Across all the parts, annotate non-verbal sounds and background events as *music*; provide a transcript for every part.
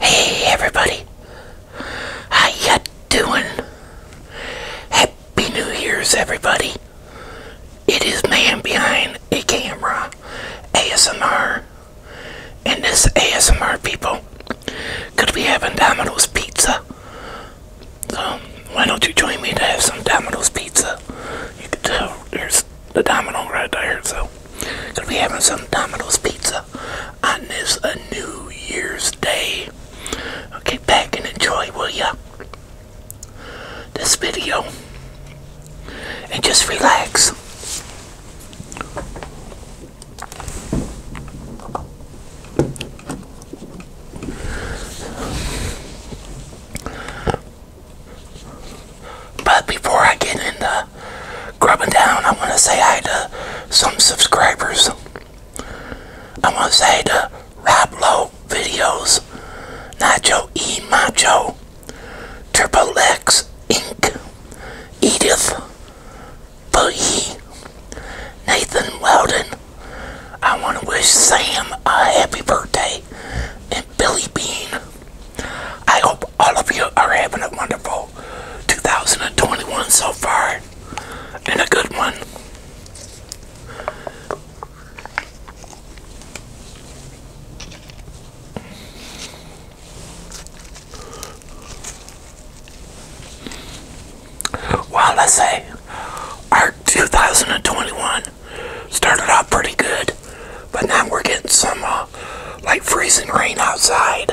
Hey everybody, how you doing? Happy New Year's everybody. It is Man Behind a Camera, ASMR, and this ASMR people could we have Domino's Pizza. So, why don't you join me to have some Domino's Pizza? You can tell there's the domino right there. So, gonna be having some Domino's pizza on this uh, New Year's Day. Okay, back and enjoy, will ya? This video and just relax. But before I get into grubbing down, I want to say hi to some subscribers. I want to say to Rob Videos, Nacho E. Macho, Triple X Inc., Edith, Boogie, Nathan Weldon. I want to wish Sam a happy birthday Billy Bean. I hope all of you are having a wonderful 2021 so far and a good one. Well, let's say our 2021 started off pretty good. But now we're getting some, uh, like, freezing rain outside.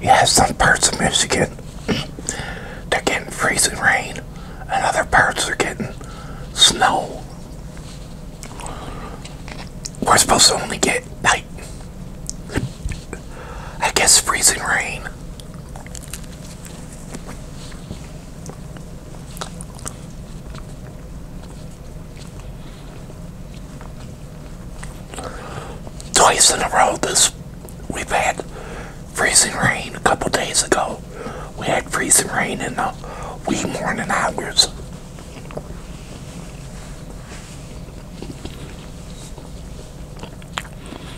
You have some parts of Michigan, they're *clears throat* getting freezing rain, and other parts are getting snow. We're supposed to only get, I guess freezing rain. Twice in a row this we've had freezing rain a couple days ago. We had freezing rain in the wee morning hours.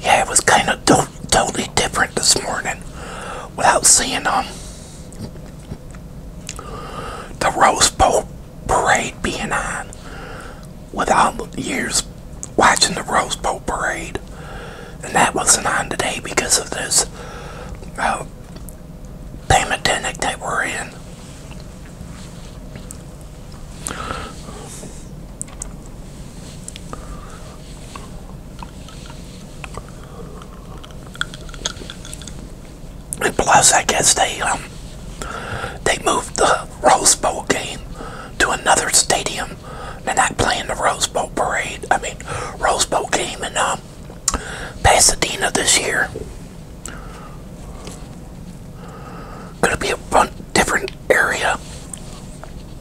yeah, it was kind of totally different this morning without seeing um the Rose Bowl parade being on. With all the years watching the Rose Bowl parade, and that wasn't on today because of this uh, pandemic that we're in. And plus, I guess they um, they moved the Rose Bowl game to another stadium. They're not playing the Rose Bowl parade. I mean, Rose Bowl game in um, Pasadena this year. Gonna be a different area.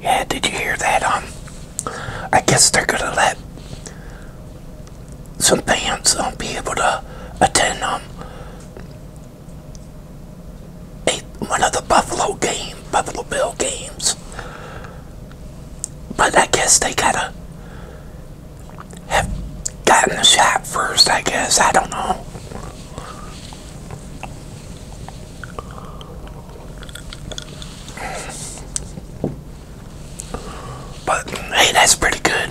Yeah, did you hear that? Um, I guess they're gonna let some fans um, be able to attend um a, one of the Buffalo game, Buffalo Bill games. But I guess they gotta have gotten the shot first, I guess. I don't know. But hey, that's pretty good.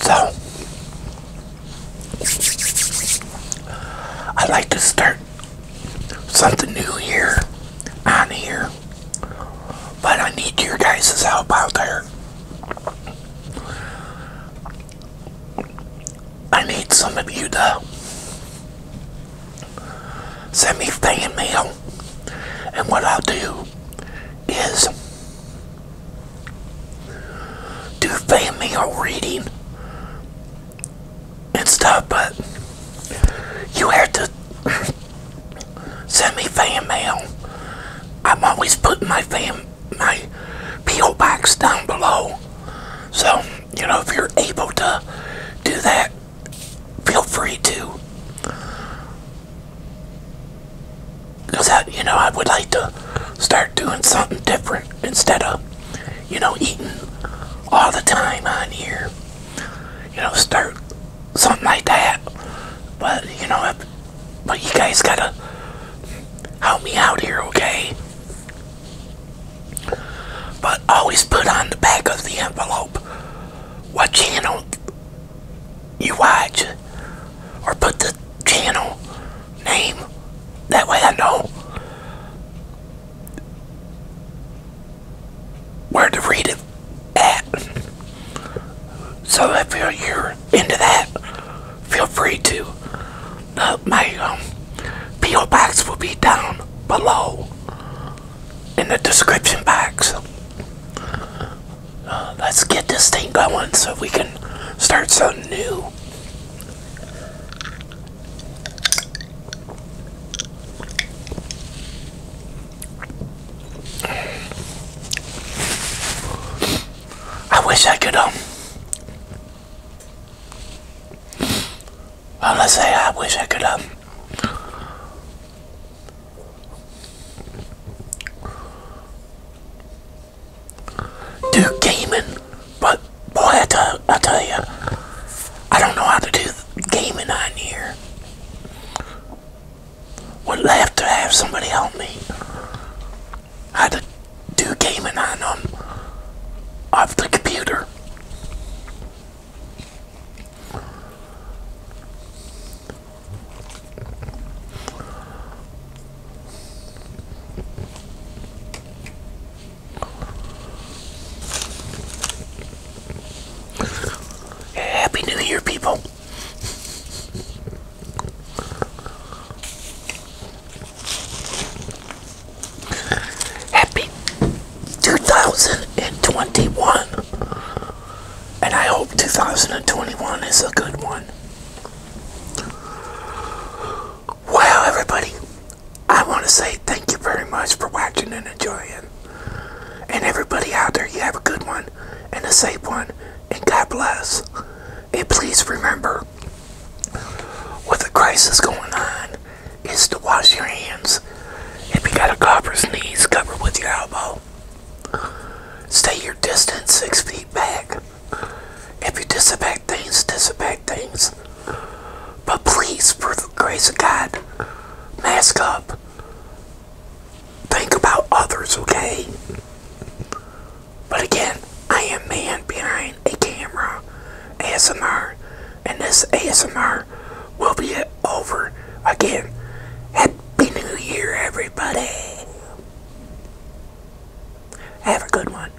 So, I like to start something new here on here. But I need your guys' help out there. I need some of you to send me fan mail. And what I'll do is do fan mail reading and stuff, but you have to send me fan mail. I'm always putting my fan my PO box down below. So, you know, if you're able to do that, feel free to. Because, you know, I would like to start doing something different instead of you know, eating all the time on here. You know, start something like that. But, you know, but you guys gotta help me out here, okay? But always put on the back of the envelope what channel you watch or put the channel name that way I know where to read it at. So if you're into that, feel free to. my um, P.O. box will be down below in the description box. Uh, let's get this thing going so we can start something new. I wish I could, um, well, let to say I wish I could, um, do gaming, but boy, I tell, I tell you, I don't know how to do gaming on here. Would have to have somebody help me how to do gaming on them off the computer. Happy New Year, people. Happy 2021. And I hope 2021 is a good one. Wow, everybody. I want to say thank you very much for watching and enjoying. And everybody out there, you have a good one and a safe one. And God bless. And please remember, with the crisis going on, is to wash your hands. If you got a cough or cover with your elbow. Stay your distance six feet back. If you disinfect things, disinfect things. But please, for the grace of God, mask up. Think about others, okay? But again, I am man behind a camera ASMR, and this ASMR will be over again. Happy New Year, everybody! Have a good one.